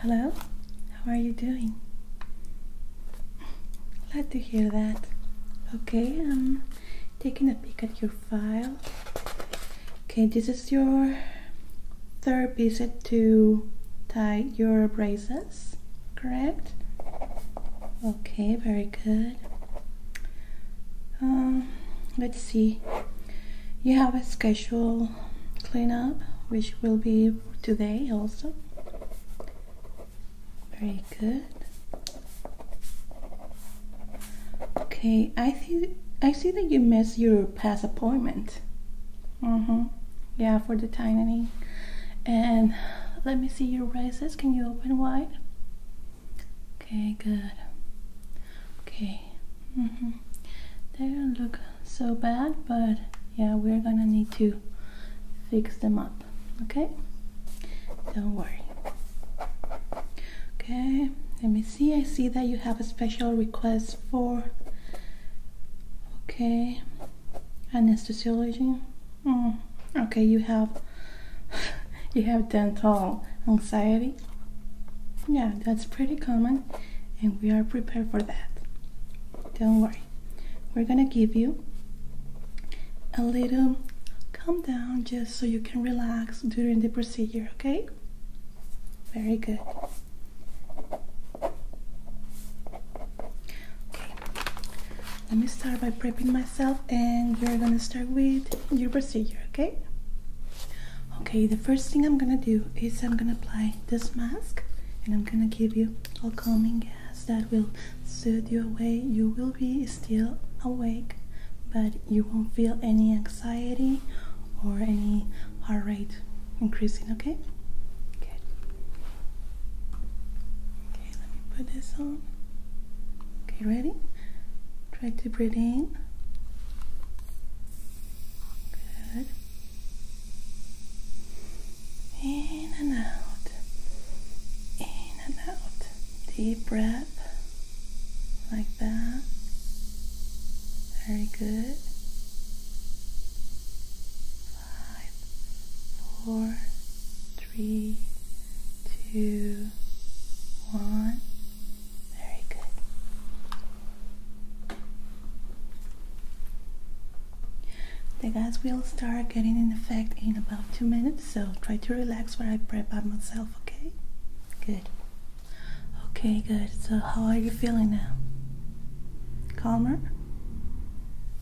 Hello, how are you doing? Glad to hear that. Okay, I'm taking a peek at your file. Okay, this is your third visit to tie your braces, correct? Okay, very good. Um, let's see. You have a scheduled cleanup, which will be today also. Very good. Okay, I see. I see that you missed your past appointment. Mm-hmm. Yeah, for the tightening. And let me see your braces. Can you open wide? Okay, good. Okay. Mm -hmm. They don't look so bad, but yeah, we're gonna need to fix them up. Okay? Don't worry. Okay, let me see. I see that you have a special request for okay anesthesiology. Mm, okay, you have you have dental anxiety. Yeah, that's pretty common and we are prepared for that. Don't worry. We're going to give you a little calm down just so you can relax during the procedure, okay? Very good. Okay. Let me start by prepping myself and we're gonna start with your procedure, okay? Okay, the first thing I'm gonna do is I'm gonna apply this mask and I'm gonna give you a calming gas that will soothe you away. You will be still awake, but you won't feel any anxiety or any heart rate increasing, okay? Good. Okay, let me put this on. Okay, ready? Try to breathe in. Good. In and out. In and out. Deep breath. Like that. Very good. Five, three, two, one. Very good. The gas will start getting in effect in about two minutes, so try to relax while I prep up myself, okay? Good. Okay, good. So, how are you feeling now? Calmer?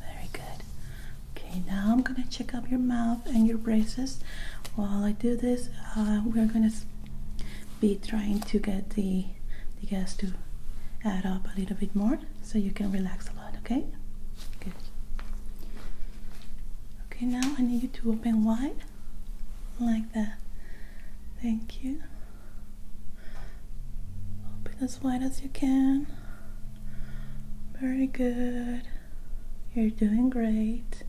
Very good. Okay, now I'm gonna check up your mouth and your braces. While I do this, uh, we're gonna be trying to get the, the gas to add up a little bit more so you can relax a lot, okay? Good. Okay, now I need you to open wide like that. Thank you. Open as wide as you can. Very good. You're doing great.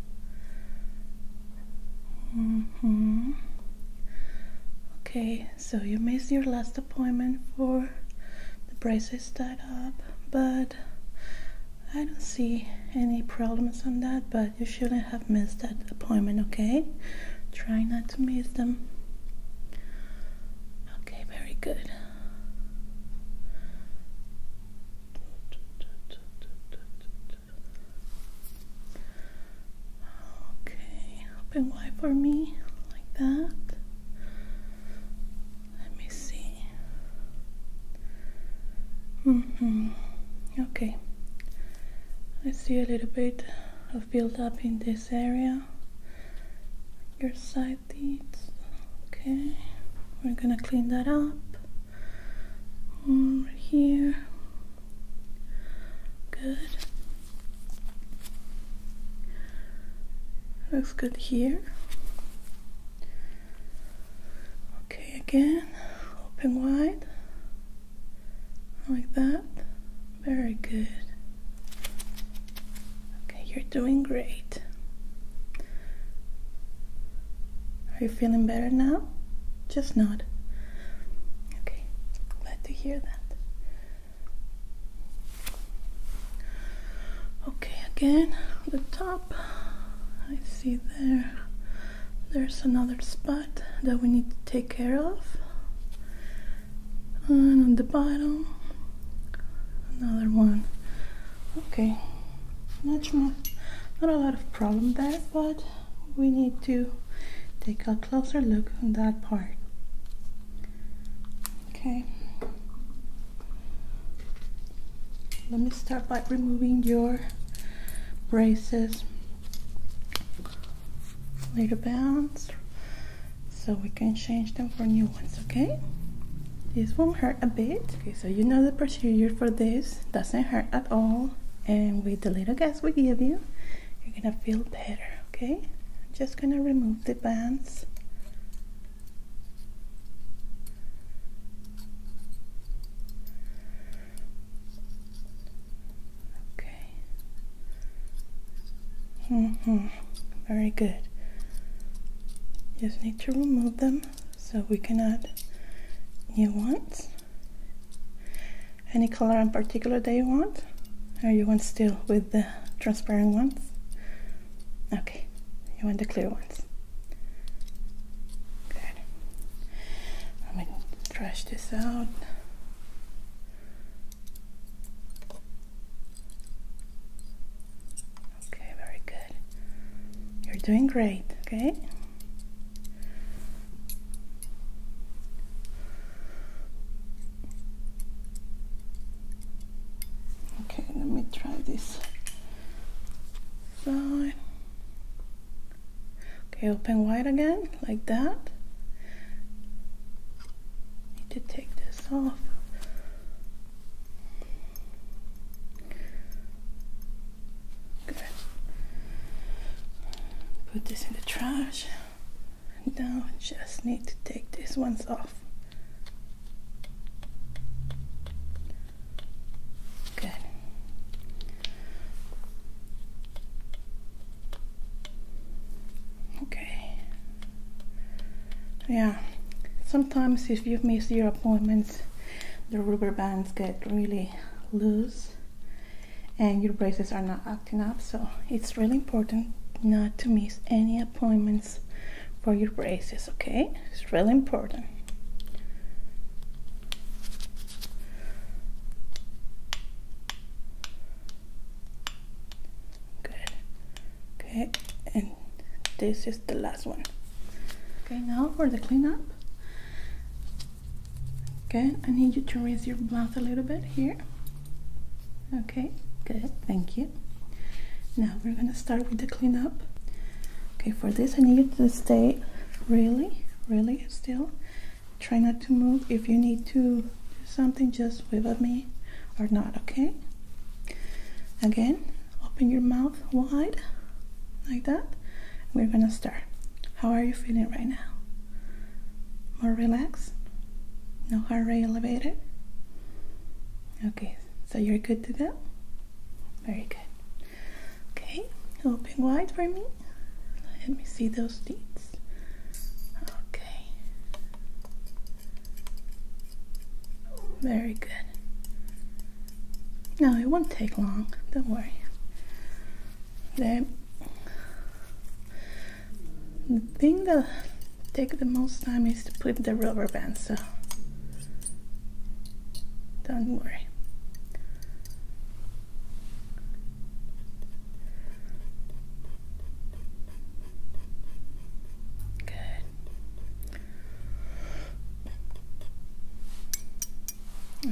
Mm-hmm. Okay, so you missed your last appointment for the braces that up, but I don't see any problems on that, but you shouldn't have missed that appointment, okay? Try not to miss them. Okay, very good. Okay, open wide for me, like that. Let me see. hmm. Okay. I see a little bit of build up in this area. Your side okay we're gonna clean that up over here good looks good here okay again open wide like that very good Okay, you're doing great. Are you feeling better now? Just not. Okay, glad to hear that. Okay, again, the top. I see there. There's another spot that we need to take care of. And on the bottom, another one okay not not a lot of problem there but we need to take a closer look on that part okay let me start by removing your braces later bounce so we can change them for new ones okay this won't hurt a bit okay so you know the procedure for this doesn't hurt at all and with the little gas we give you you're gonna feel better okay just gonna remove the bands okay hmm very good just need to remove them so we can add new ones any color in particular that you want or you want still with the transparent ones okay you want the clear ones good let me trash this out Okay, very good. You're doing great, okay? Okay, let me try this side. Okay, open wide again, like that need to take this off. Good. Put this in the trash. Now just need to take these ones off. Good. Okay, yeah sometimes if you miss your appointments the rubber bands get really loose and your braces are not acting up so it's really important not to miss any appointments for your braces okay it's really important good okay and this is the last one okay now for the cleanup okay I need you to raise your mouth a little bit here okay good thank you now we're gonna start with the cleanup okay for this I need you to stay really really still try not to move if you need to do something just wave at me or not okay Again, open your mouth wide like that. We're gonna start. How are you feeling right now? More relaxed? No heart rate elevated? Okay, so you're good to go? Very good. Okay, open wide for me. Let me see those teeth. Okay. Very good. No, it won't take long. Don't worry. The, thing that takes the most time is to put the rubber band, so don't worry. Good.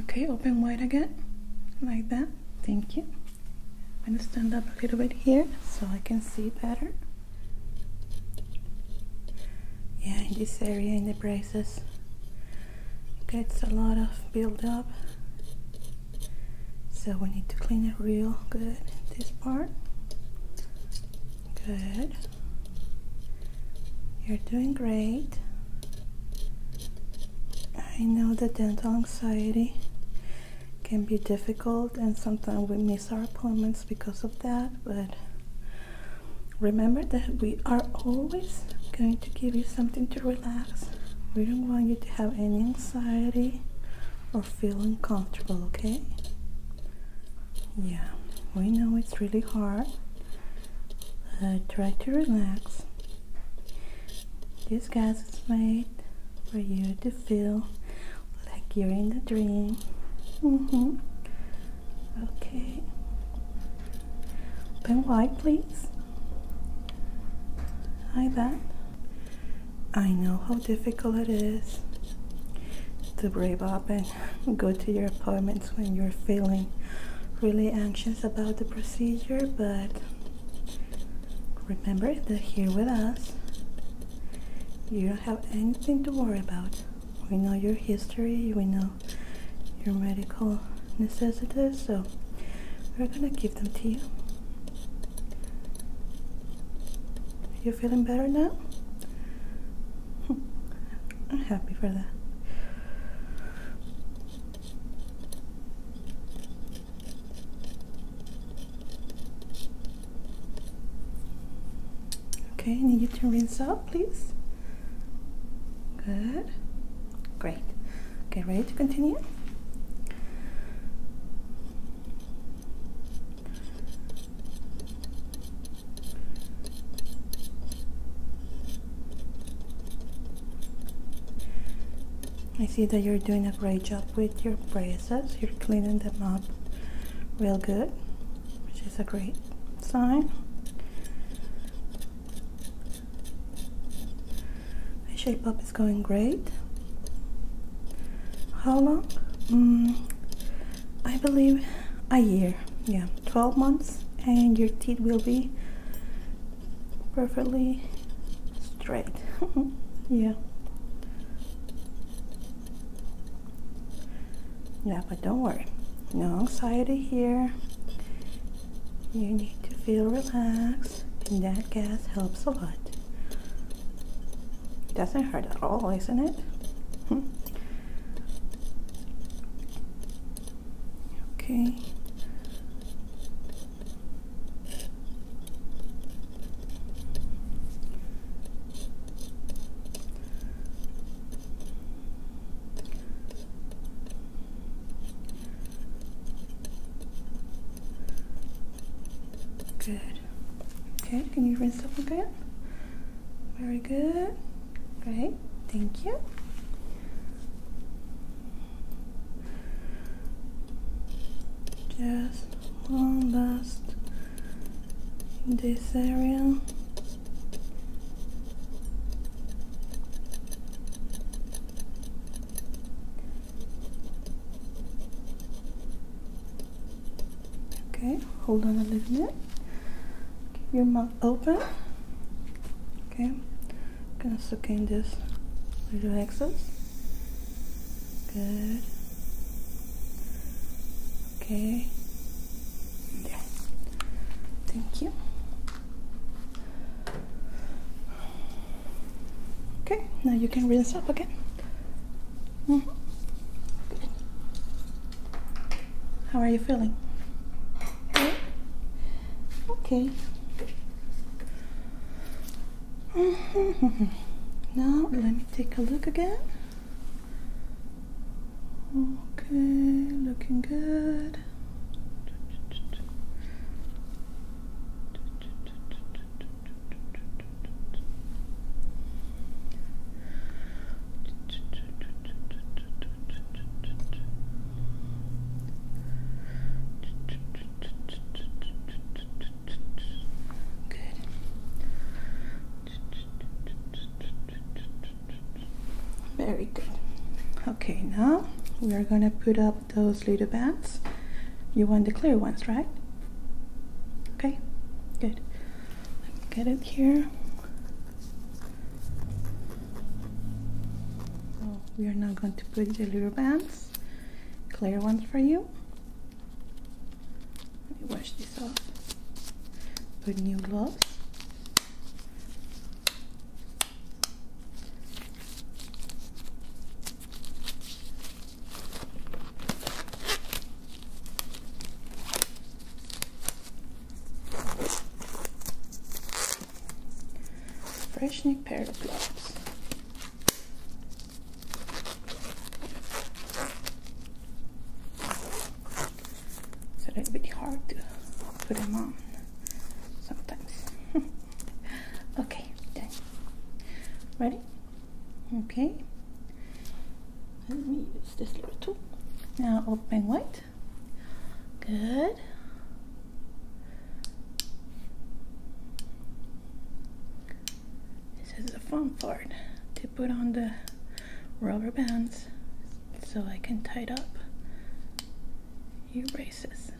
Okay, open wide again, like that. Thank you. I'm gonna stand up a little bit here so I can see better. Yeah, in this area in the braces gets a lot of buildup. So we need to clean it real good this part. Good. You're doing great. I know that dental anxiety can be difficult and sometimes we miss our appointments because of that, but remember that we are always going to give you something to relax. We don't want you to have any anxiety or feel uncomfortable, okay? Yeah, we know it's really hard. Uh, try to relax. This gas is made for you to feel like you're in the dream. -hmm. Okay. Open white, please. Like that. I know how difficult it is to brave up and go to your appointments when you're feeling really anxious about the procedure, but remember that here with us, you don't have anything to worry about. We know your history, we know your medical necessities, so we're gonna give them to you. You feeling better now? I'm happy for that. Okay, need you to rinse out, please. Good. Great. Okay, ready to continue? I see that you're doing a great job with your braces. You're cleaning them up real good, which is a great sign. shape up it's going great. How long? Mm, I believe a year. Yeah, 12 months and your teeth will be perfectly straight. yeah. Yeah, but don't worry. No anxiety here. You need to feel relaxed and that gas helps a lot. Doesn't hurt at all, isn't it? Hmm. okay. Good. Okay, can you rinse up again? Very good. Great. Thank you. Just one last in this area. Okay, hold on a little bit. Keep your mouth open. Okay, gonna suck in this little excess. Good. Okay. There. Thank you. Okay, now you can rinse up again. Hmm. How are you feeling? Okay. Now let me take a look again. Okay, looking good. Good. Very good. Okay, now we are going to put up those little bands. You want the clear ones, right? Okay, good. Let me get it here. Oh, we are now going to put the little bands, clear ones for you. Let me wash this off. Put new gloves. Fresh new pair of gloves. It's a little bit hard to put them on sometimes. okay, then. Ready? Okay. Let me use this little tool. Now open white. Good. This is the fun part to put on the rubber bands so I can tie up your braces.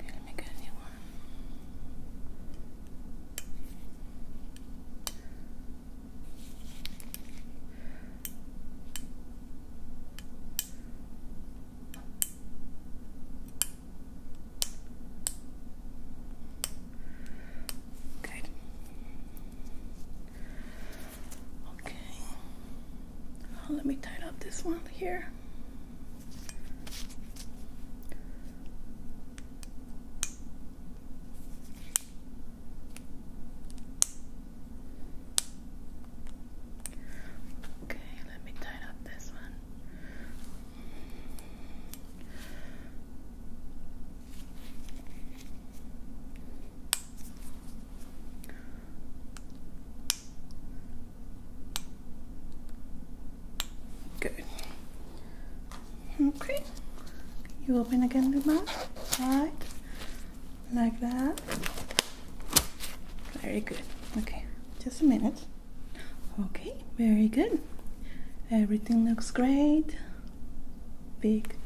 Okay, let me get a new one. Good. Okay. Oh, let me tighten up this one here. Okay, let me tighten up this one. Good. Okay. You open again the mouth. Right. Like that. Very good. Okay. Just a minute. Okay. Very good. Everything looks great. Big,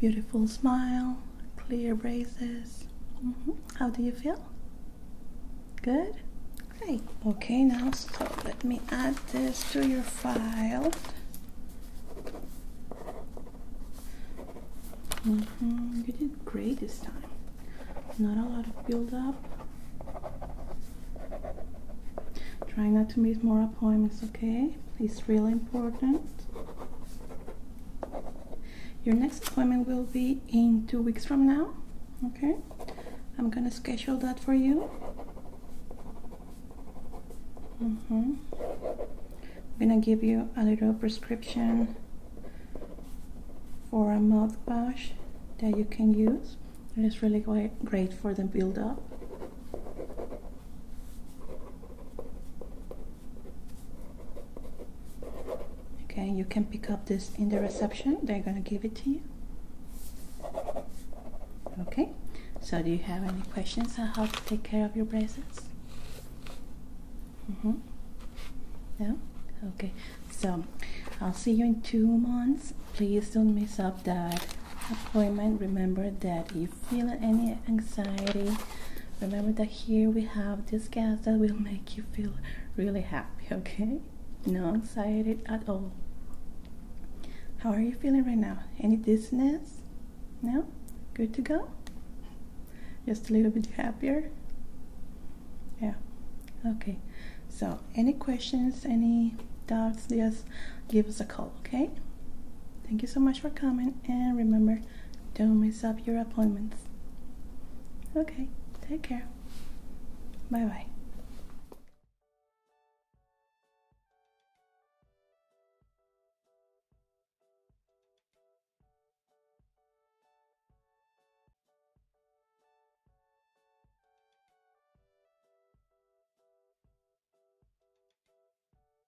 beautiful smile clear braces. Mm-hmm. How do you feel? Good? Great. Okay, now so let me add this to your file. Mm-hmm. You did great this time. Not a lot of build up. Try not to miss more appointments, okay? It's really important. Your next appointment will be in two weeks from now. Okay, I'm gonna schedule that for you. Mm -hmm. I'm gonna give you a little prescription for a mouthwash that you can use. It is really great for the buildup. Okay, you can pick up this in the reception. They're going to give it to you. Okay, so do you have any questions on how to take care of your braces? Mm -hmm. No? Okay, so I'll see you in two months. Please don't miss up that appointment. Remember that if feeling any anxiety remember that here we have this gas that will make you feel really happy okay no anxiety at all how are you feeling right now any dizziness no good to go just a little bit happier yeah okay so any questions any doubts just give us a call okay thank you so much for coming and remember don't mess up your appointments. Okay, take care. Bye bye.